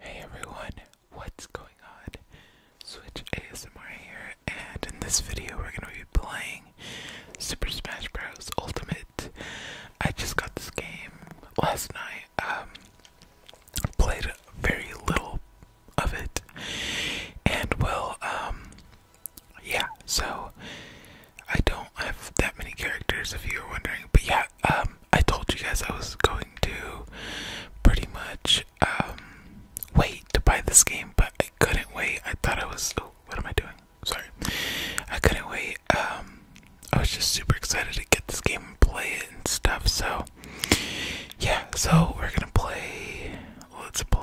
Hey everyone, what's going on? Switch ASMR here, and in this video we're going to be playing Super Smash Bros. Ultimate. I just got this game last night, um, played very little of it, and well, um, yeah, so I don't have that many characters if you were wondering, but yeah, um, I told you guys I was going to pretty much um, wait to buy this game, but I couldn't wait. I thought I was. Oh, what am I doing? Sorry, I couldn't wait. Um, I was just super excited to get this game and play it and stuff. So yeah, so we're gonna play. Let's play.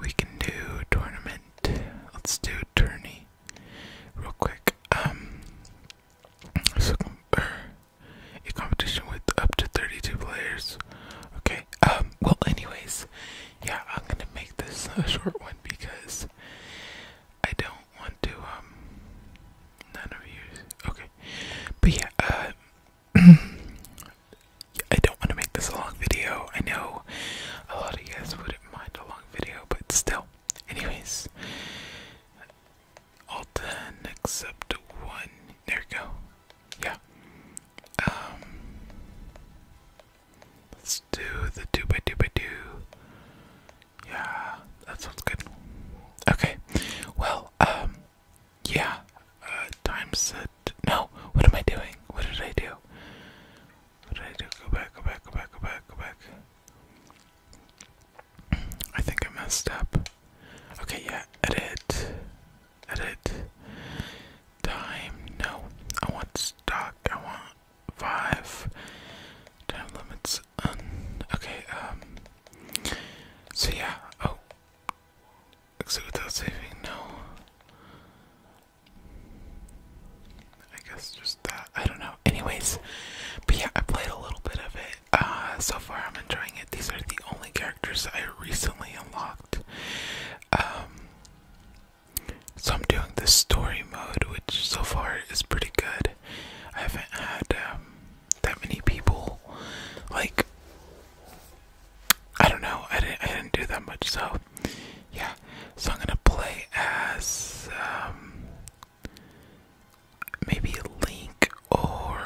we can do tournament. Let's do a tourney real quick. Um, er, a competition with up to 32 players. Okay, um, well, anyways, yeah, I'm gonna make this a short one because I don't want to, um, none of you, okay, but yeah, uh, I don't want to make this a long video. I know a lot of you guys would mind a long video, but still. Anyways, all ten except one. There we go. Yeah. Um. Let's do the two by two by two. Yeah, that sounds good. Okay. Well, um, yeah. Uh, Time's up. No. What am I doing? What did I do? Right, go back, go back, go back, go back, go back. I think I messed up. Okay, yeah, edit. Edit. Time, no. I want stock, I want five. Time limits, un. Okay, um. So yeah, oh. Exit without saving, no. I guess just that. I don't know. Anyways, but yeah, I played a little bit of it. Uh, so far, I'm enjoying it. These are the only characters I recently unlocked. Um, so I'm doing the story mode, which so far is pretty good. I haven't had um, that many people like. I don't know. I didn't. I didn't do that much. So yeah. So I'm gonna play as um, maybe Link or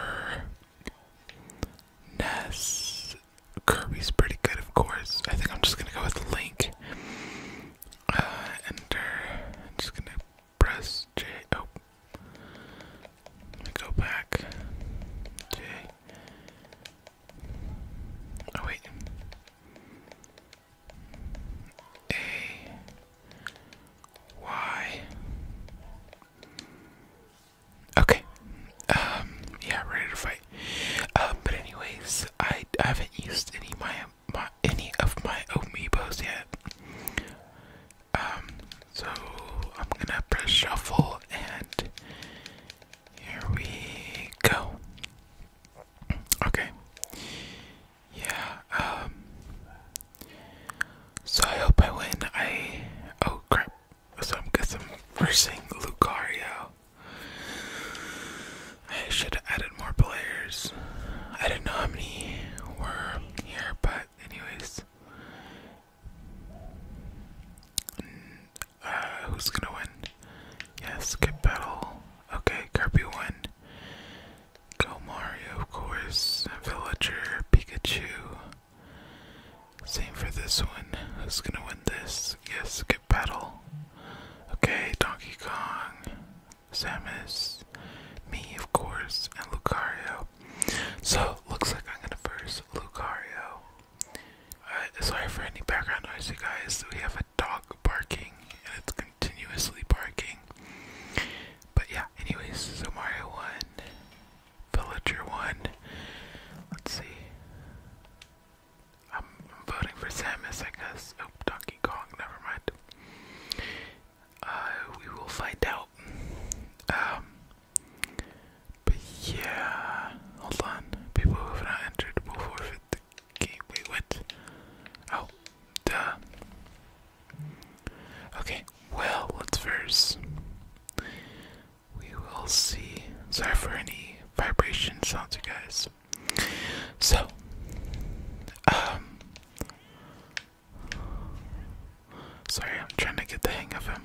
Ness. Kirby's pretty good, of course. I think I'm just gonna go with Link. Uh, enter. I'm just gonna press J. Oh, let me go back. J. Oh wait. A Y. Okay. Um. Yeah, ready to fight. Um. But anyways, I, I haven't used any my my any of my amiibos yet. Um. So I'm gonna press shuffle and here we go. Okay. Yeah. Um, so I hope I win. I. Oh crap. So I'm guessing i Lucario. I should have added more players. I didn't know how many were here, but anyways. Mm, uh, who's gonna win? Yes, skip battle. Okay, Kirby one. Go Mario, of course. Villager, Pikachu. Same for this one. Who's gonna win this? Yes, get battle. Okay, Donkey Kong, Samus, me, of course, and Lucario. So, looks like I'm gonna first Lucario. Uh, sorry for any background noise, you guys. We have a dog barking and it's continuously barking. But yeah, anyways, so Mario won, Villager won. Let's see. I'm voting for Samus, I guess. Oh, Donkey Kong, never mind. Uh, we will find out. Um, but yeah, hold on. People have not entered will forfeit Okay, Wait, what? Oh, duh. Okay, well, let's first. We will see. Sorry for any vibration sounds, you guys. So, um. Sorry, I'm trying to get the hang of him.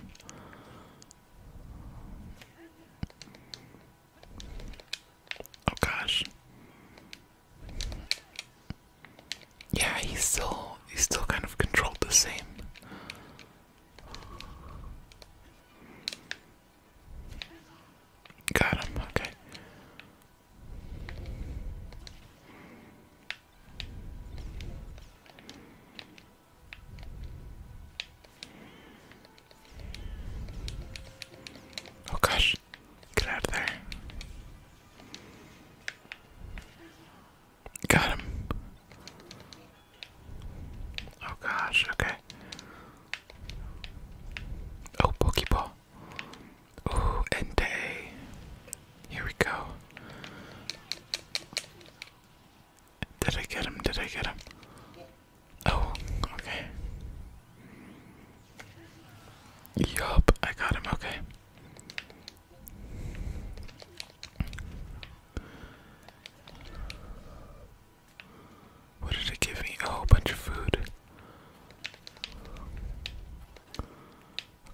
Oh gosh. Yeah, he's still he's still kind of controlled the same. Got him, okay. Oh gosh, Get out of there. Got him. Oh gosh, okay. Oh, Pokeball. Ooh, and day. Here we go. Did I get him? Did I get him? Oh, okay. Yup, I got him, okay. What did it give me? A whole bunch of food.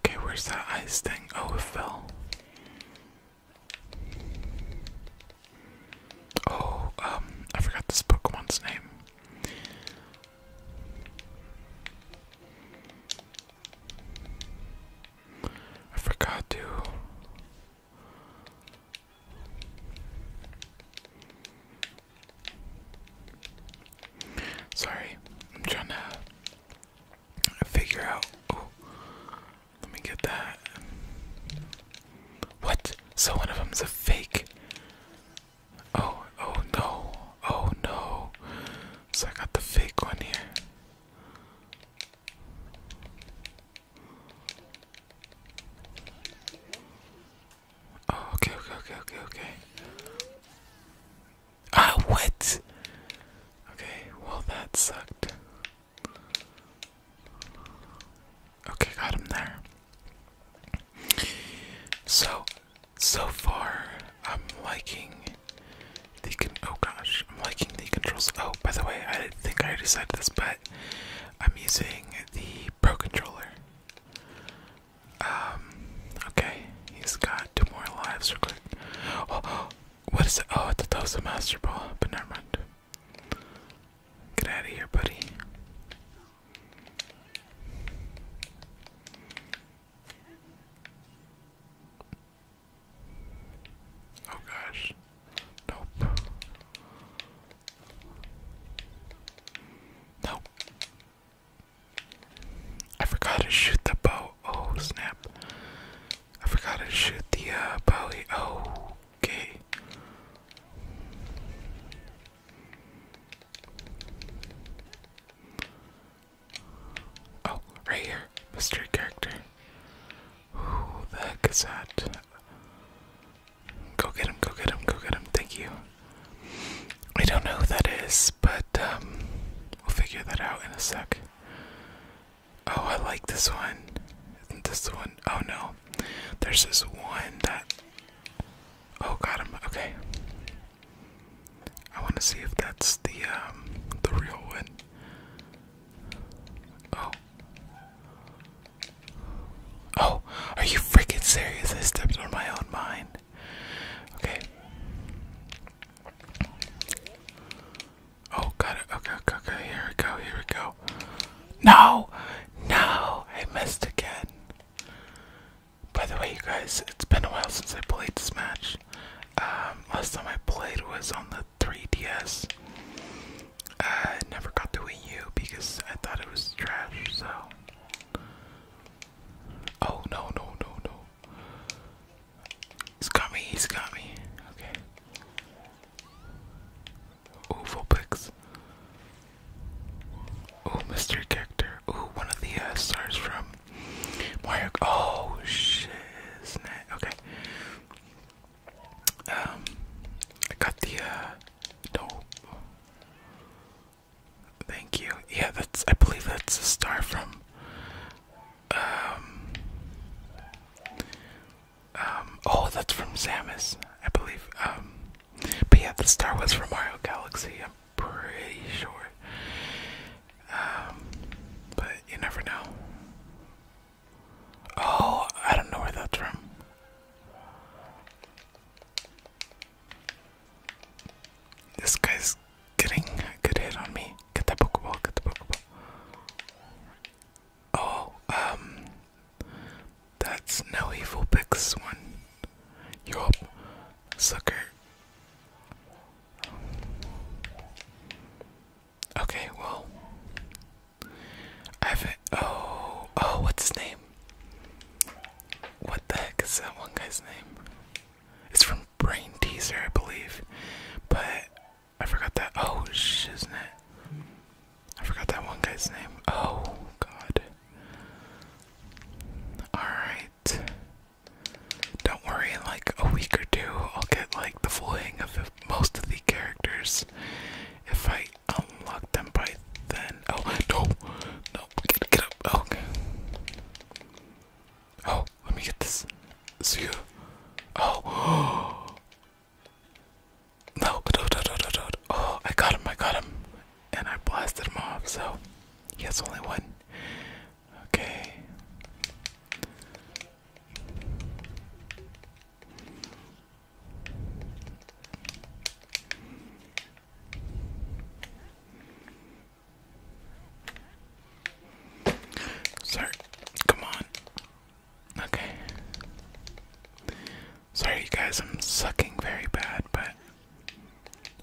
Okay, where's that ice thing? Oh, fell. Oh, um, I forgot this Pokemon's name. I forgot to. Sorry, I'm trying to figure out. Oh, let me get that. What? So one of them's a fake. Oh, oh no, oh no. So I got the fake one here. Oh, okay, okay, okay, okay, okay. Ah, what? Okay, well, that sucked. Okay, got him there. So, so far, I'm liking the con oh gosh, I'm liking the controls. Oh, by the way, I think I decided this, but I'm using the Pro Controller. Um, okay, he's got two more lives. Real quick. what is it? Oh, I thought that but never mind. Get out of here, buddy. Oh gosh. Nope. Nope. I forgot to shoot the bow. Oh snap. I forgot to shoot the uh, bowie. Oh, okay. Oh, right here. Mystery character. Who the heck is that? Go get him, go get him, go get him. Thank you. I don't know who that is, but um, we'll figure that out in a sec. Oh, I like this one. Isn't this the one? Oh no. There's this one that Oh, God! Okay. I want to see if that's the um, the real one. Oh. Oh, are you freaking serious? I stepped on my own mind. Okay. Oh, got it. Okay, okay, okay. Here we go. Here we go. No, no, I missed again. By the way, you guys, it's been a while since I played this match. Um, last time I played was on the 3DS. I never got to win you because I thought it was trash, so. Oh, no, no, no, no. He's got me, he's got me. Okay. Ooh, Vulpix. Ooh, mystery character. Ooh, one of the uh, stars from Oh, shit. Okay. Um, I got the, uh, Thank you. Yeah, that's, I believe that's a star from, um, um, oh, that's from Samus, I believe. Um, but yeah, the star was from Mario Galaxy, I'm pretty sure. Um, but you never know. Oh, I don't know where that's from. This guy's getting a good hit on me. Get that Pokeball, get the Pokeball. Oh, um, that's no evil picks one. Yup, sucker. Okay, well, I haven't. Oh, oh, what's his name? What the heck is that one guy's name? It's from Brain Teaser, I believe, but I forgot that. Oh, shit, isn't it? I forgot that one guy's name. Oh, God. Alright. Don't worry, like a week or two, I'll get like the full hang of most of the characters. If I unlock them by then. Oh, no! No, get, up! Oh, okay. Oh, let me get this. See you. Oh! no, no, no, no, no. Oh, I got him, I got him and I blasted him off, so he has only one. Okay. Sir, come on. Okay. Sorry, you guys, I'm sucking very bad, but.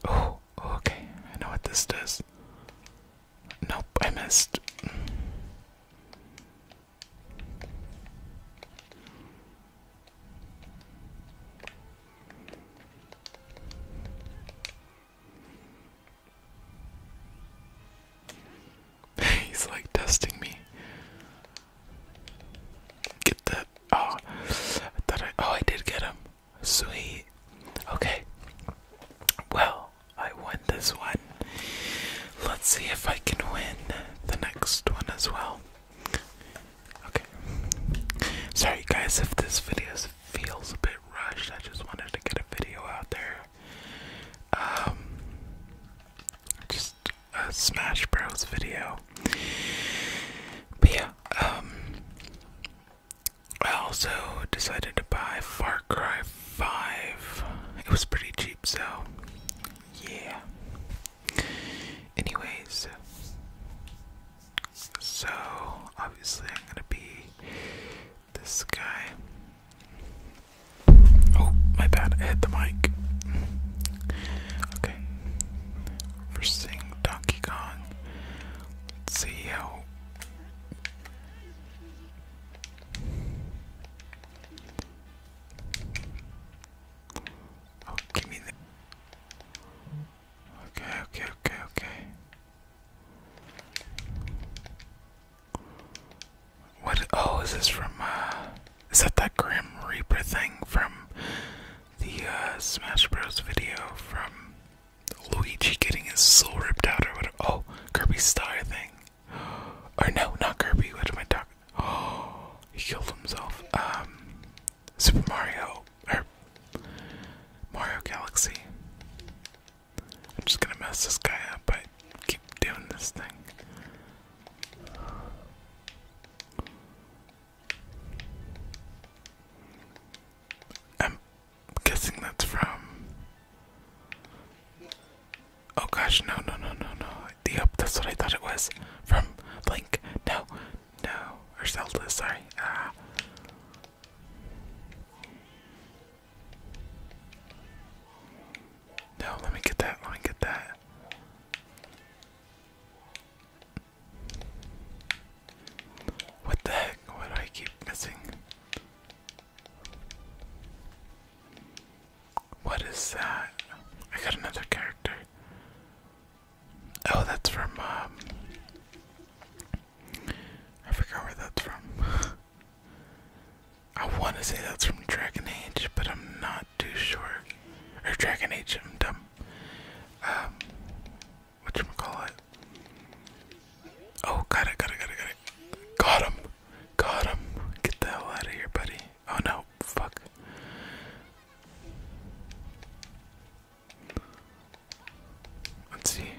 Oh, oh, okay. I know what this does. Nope, I missed. He's like testing me. Get that Oh, I I. Oh, I did get him. Sweet. Okay. Well, I won this one. Let's see if I can win the next one as well. Okay. Sorry, guys, if this video feels a bit rushed. I just wanted to get a video out there. Um, just a Smash Bros. video. But yeah, um, I also decided to buy Far Cry 5. It was pretty cheap, so yeah. Anyways, so obviously I'm gonna be this guy. Oh, my bad, hit the mic. Okay for seeing Donkey Kong. see how. Oh, give me the. Okay, okay, okay, okay. What? Oh, is this from, uh, is that that Grim Reaper thing from the uh, Smash Bros. video from Luigi getting his soul ripped out or whatever? Oh, Kirby Star thing. Or no, not Kirby. What am I talking? Oh, he killed himself. Um, Super Mario or Mario Galaxy. I'm just gonna mess this guy up. I keep doing this thing. I'm guessing that's from. Oh gosh, no, no, no, no, no. Yep, uh, that's what I thought it was. From Blink. No, no. Or sorry. Ah. No, let me get that. Let me get that. What the heck? Why do I keep missing? What is that? I got another character. Oh, that's from, um, I forgot where that's from. I want to say that's from Dragon Age, but I'm not too short, Or Dragon Age, I'm dumb. Um, whatchamacallit? Oh, got it, got it, got it, got it. Got him! Got him! Get the hell out of here, buddy. Oh no, fuck. Let's see.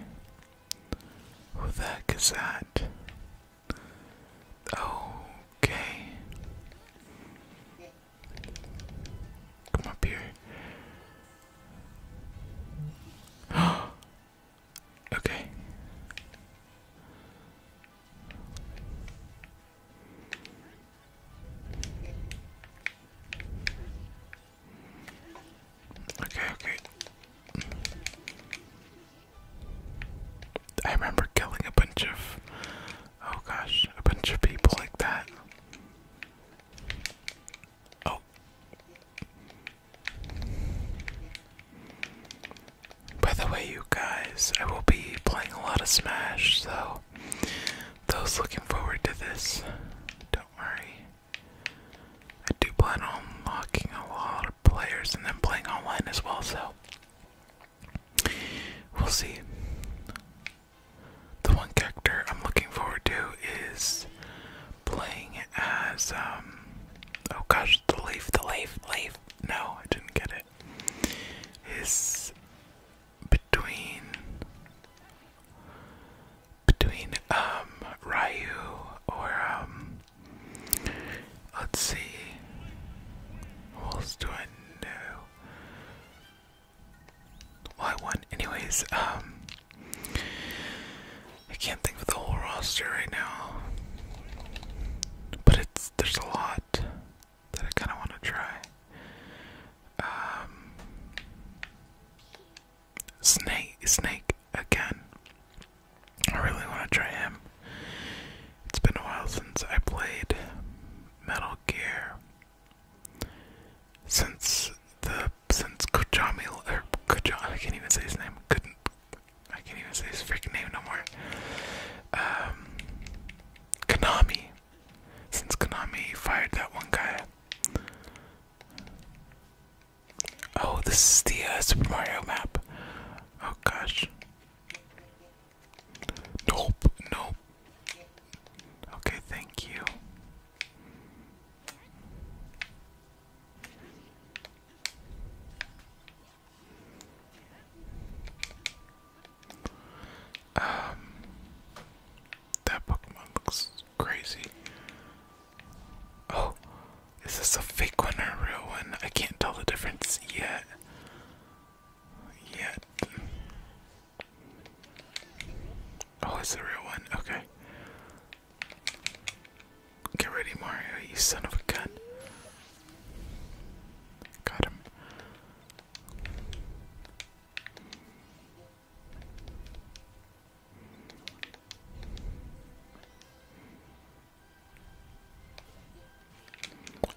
Who the heck is that? Okay. Come up here. okay. Okay, okay. I remember killing a bunch of, oh gosh, a bunch of people like that. Oh. By the way, you guys, I will be playing a lot of Smash, so those looking forward to this, don't worry. I do plan on locking a lot of players and then playing online as well, so we'll see the one character I'm looking forward to is playing as um oh gosh the leaf the leaf leaf no I didn't get it is between between um Raiu or um let's see who else do well, I Anyways, um, I can't think of the whole roster right now, but it's there's a lot that I kind of want to try. Um, snake, snake again. I really want to try him. It's been a while since I played Metal Gear. Since the since Kojami or Kojami, I can't even say his name. I can't even say his freaking name no more. Um, Konami. Since Konami fired that one guy. Oh, this is the uh, Super Mario map. Oh gosh. Nope, nope. Okay, thank you. Um, that Pokemon looks crazy. Oh, is this a fake one or a real one? I can't tell the difference yet. Yet. Oh, it's the real one. Okay. Get ready, Mario, you son of a gun. Got him.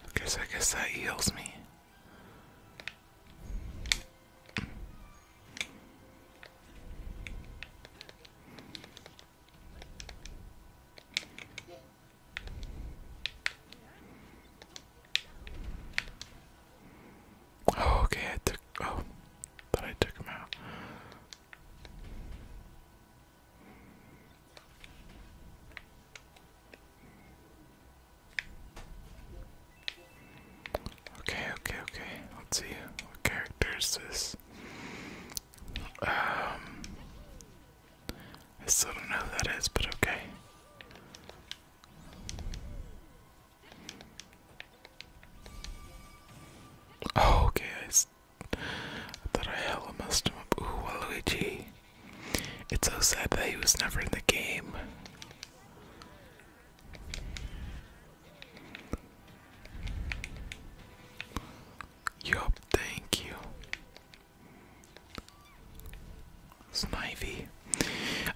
Okay, I guess that heals me. Oh, okay, I took. Oh, thought I took him out. Okay, okay, okay. Let's see. What character is this? Um, I still don't know who that is, but okay. Oh, okay. I, thought I messed him up. Ooh, Waluigi. It's so sad that he was never in the game. Yup, thank you. Snivy.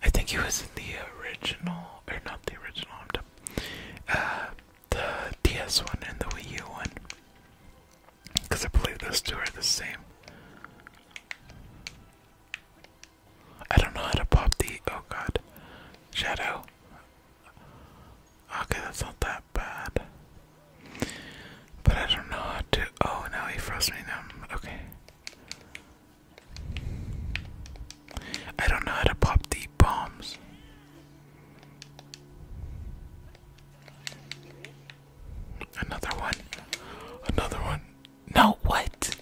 I think he was in the original, or not the original, uh, the DS one and the Wii U one. Because I believe those two are the same. I don't know how to pop the. Oh god. Shadow. Okay, that's not that bad. But I don't know how to. Oh, now he froze me now. Okay. I don't know how to pop the bombs. Another one. Another one. No, what?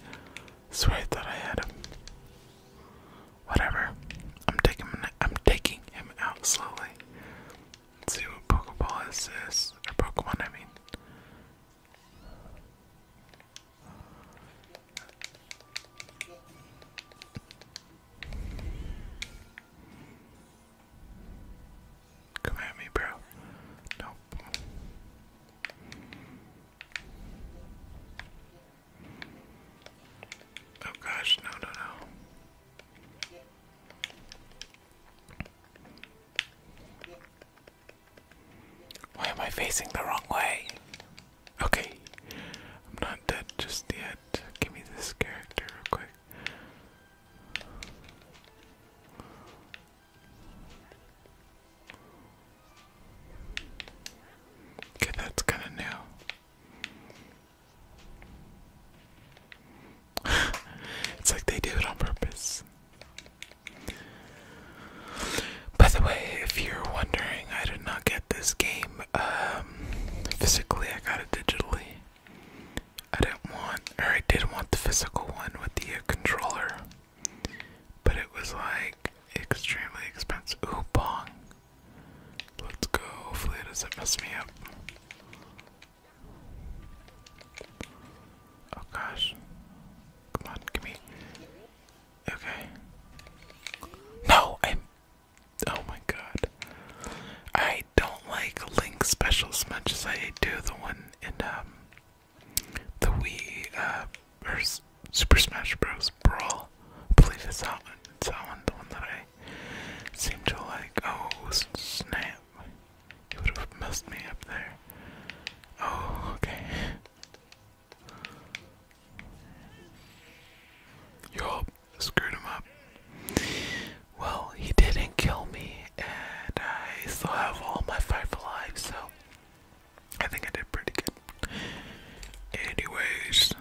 Swear I thought I had him. Whatever. I'm taking him. I'm taking him out slowly. Let's see what Pokeball is this or Pokemon. I mean. Come at me, bro. Nope. Oh gosh, no, no, no. Why am I facing the wrong way? Okay, I'm not dead just yet. Give me this character real quick. Okay, that's kind of new. it's like they do it on purpose. By the way, if you're wondering, I did not get this game um, physically, I got it digitally. I didn't want, or I did want the physical one with the controller. But it was like extremely expensive. Ooh, bong. Let's go. Hopefully, it doesn't mess me up. Oh gosh. Come on, give me. Okay. No, I'm. Oh my god. I don't like Link special as much as I do the one in, um, the Wii uh, Super Smash Bros. Brawl. I believe it's that one. It's that the one that I seem to like. Oh snap! You would have messed me up there. Oh okay. Yup, screwed him up. Well, he didn't kill me and I still have all my five alive, so I think I did pretty good. Anyways,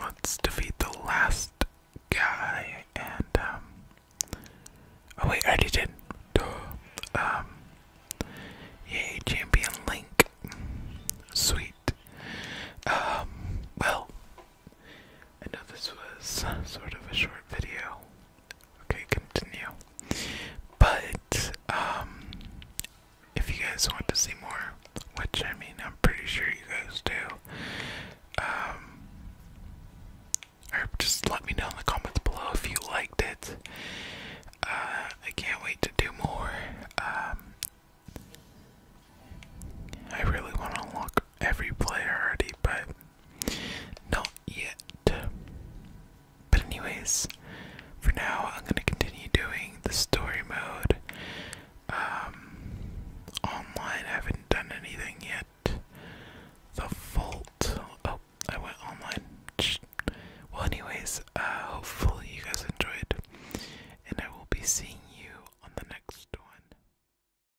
let's defeat the last guy and um, oh wait, I already did. Um Yay, champion Link. Sweet. Um well I know this was sort of a short video. Okay, continue. But, um, if you guys want to see more, which I mean, I'm pretty sure you guys do, um, or just let me know in the comments below if you liked it. Uh, I can't wait to do more. Um, I really want to unlock every player already, but not yet. But, anyways, for now, I'm going to continue doing the story mode. Um, online, I haven't done anything yet. The Vault. Oh, I went online. Well, anyways, uh, hopefully, you guys enjoyed, and I will be seeing you on the next one.